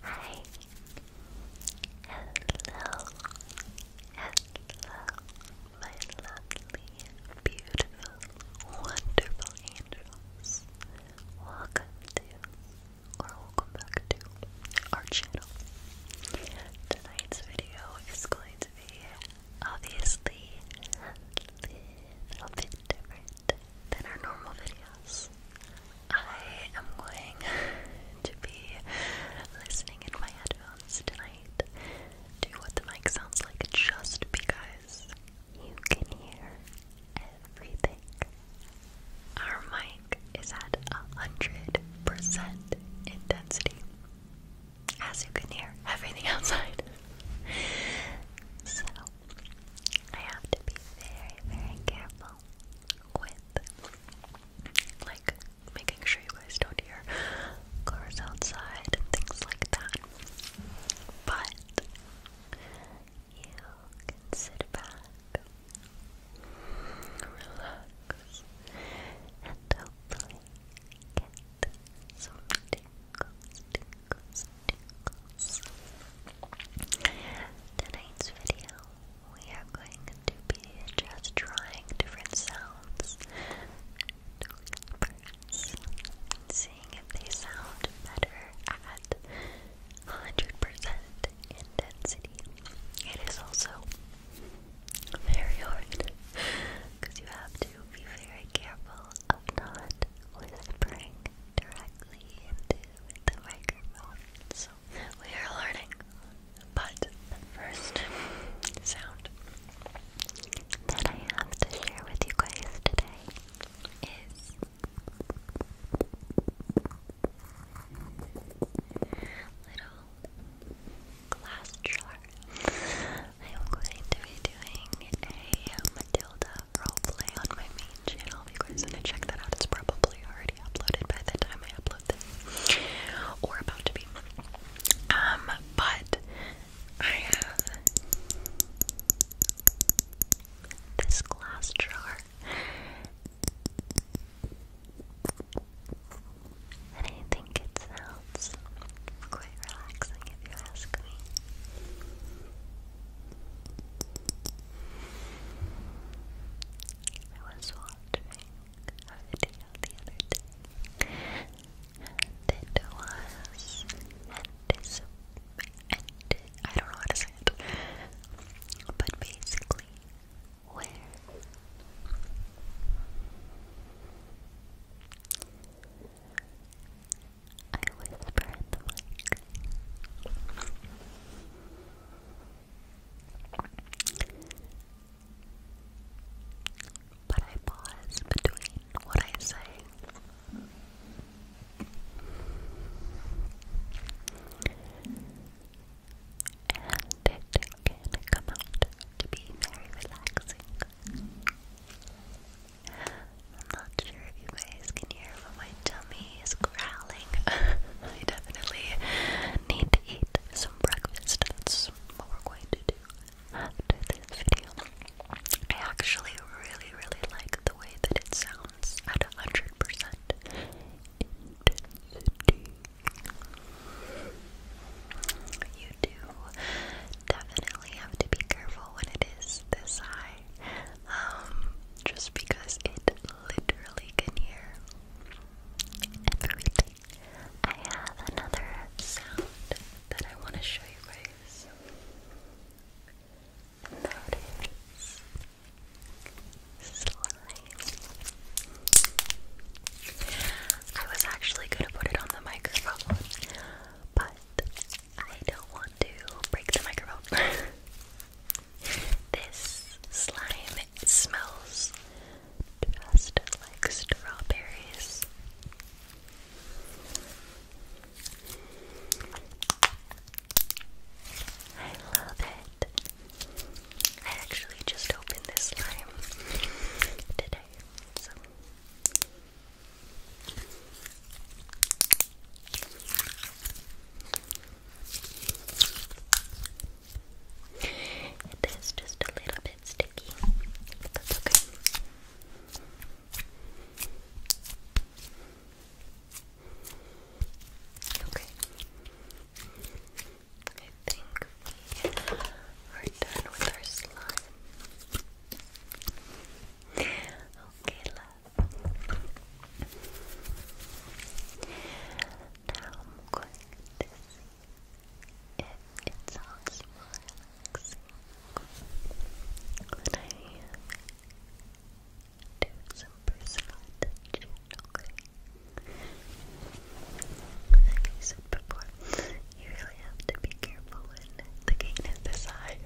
Hi. Hello. Hello. My lovely, beautiful, wonderful angels. Welcome to or welcome back to our channel. Tonight's video is going to be obviously a little bit different than our normal videos. I am going to be listening in my headphones tonight to what the mic sounds like just because you can hear everything. Our mic is at 100% intensity. As you can hear everything outside. So, I have to be very, very careful with like making sure you guys don't hear cars outside and things like that. But you can sit back, relax, and hopefully get some tingles, Tonight's video, we are going to be just trying different sounds seeing if they sound better at 100% intensity. It is also very hard because you have to be very careful of not whispering directly into the microphone. So we are learning. But the first sound that I have to share with you guys today is little glass jar. I am going to be doing a Matilda I'll play on my main channel. If you guys want to check that out, it's probably already uploaded by the time I upload this, or about to be. Um, but I have this glass jar, and I think it sounds quite you was watching a video the other day, it was anticip and I don't know how to say it, but basically, where I whisper the mic. But I pause between what I say. And it can come out to be very relaxing. I'm not sure if you guys can hear, but my tummy is growling. I definitely need to eat some breakfast. That's what we're going to do after I actually really, really like the way that it sounds at 100% intensity. You do definitely have to be careful when it is this high, um, just because it literally can hear everything. I have another sound that I want to show you guys. And that is I was actually gonna put it on the microphone, but I don't want to break the microphone. this slime smells just like strawberries. I love it. I actually just opened this slime today, it is just a little bit sticky, but that's okay. Okay. I think we are done with our slime. Okay, love. Now I'm going to see it sounds more relaxing when I do some personal attention, like I said before, you really have to be careful when the gain is high.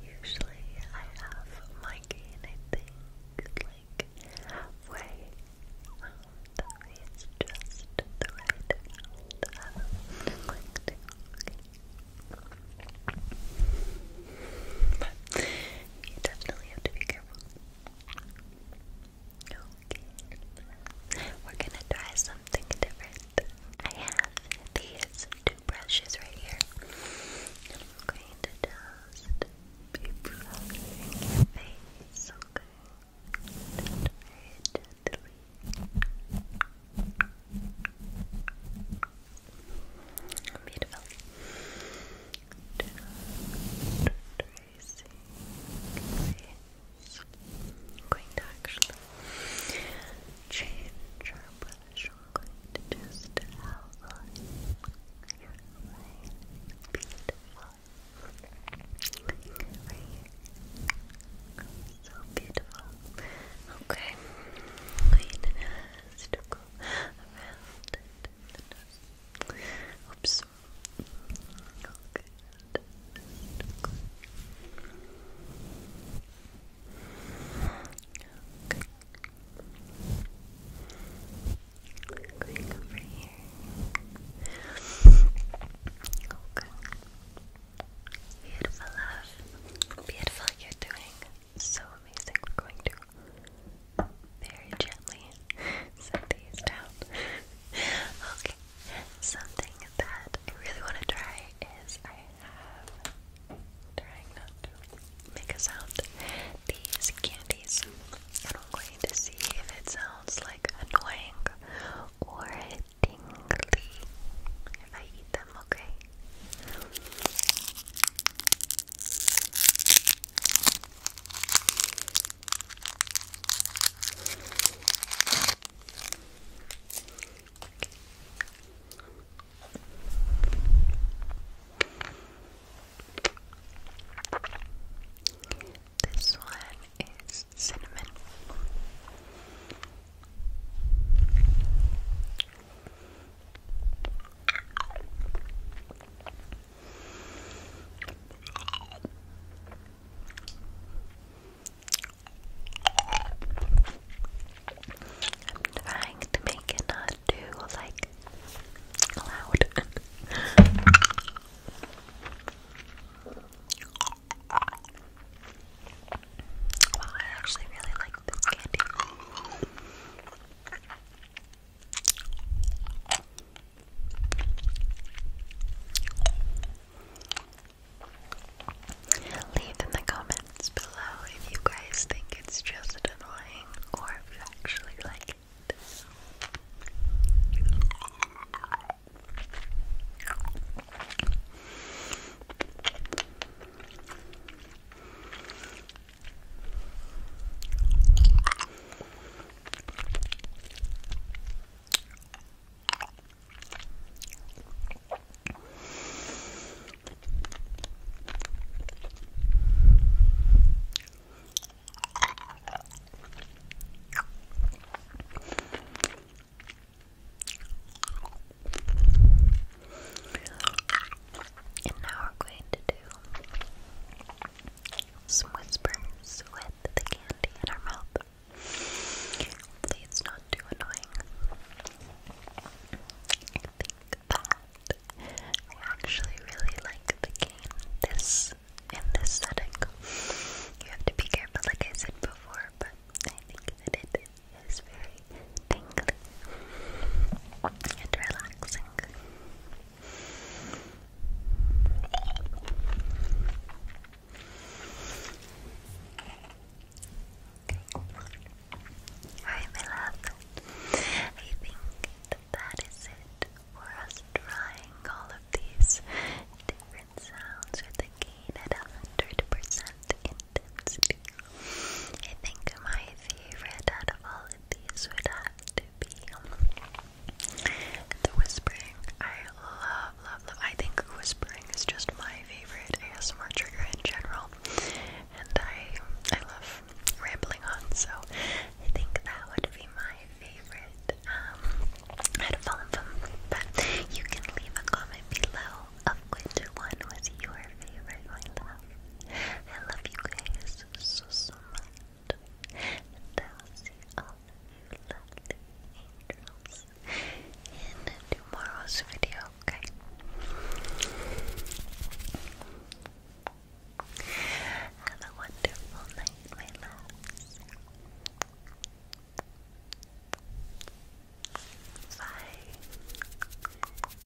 Usually I have my gain, I like halfway. that way just the right amount But you definitely have to be careful. We're gonna try something different. I have these two brushes right here. I'm going be brushing face, okay? Just very gently. Beautiful. Just face. You I'm going to actually change our brush. I'm going to just outline your line. Beautiful. So beautiful. Okay. I'm going to just around it the Oops. Okay. Beautiful love. Beautiful, you're doing so amazing. We're going to very gently set these down. okay, something that I really want to try is I have trying not to make a sound. These candies, and I'm going to see if it sounds like annoying or tingly if I eat them. Okay. This one is cinnamon. I'm trying to make it not too like loud. wow, I actually really like this candy. Leave in the comments below if you guys think it's just annoying or if you actually like it. And now we're going to do some whispers with the candy in our mouth. it's not too annoying. I think that I actually really like the game this in this setting. You have to be careful, like I said before, but I think that it is very tingly and relaxing. Alright, my I think that is it for us trying all of these different sounds with a gain at 100% intensity. I think my favorite out of all these would have to be um, the whispering. I love, love, love. I think whispering is just my favorite ASMR trigger in general, and I, I love rambling on. So I think that would be my favorite. Um, I had a follow from but you can leave a comment below of which one was your favorite, I love you guys is Susan and I'll see all of you lovely angels in tomorrow's video, okay? Have a wonderful night, my loves. Bye.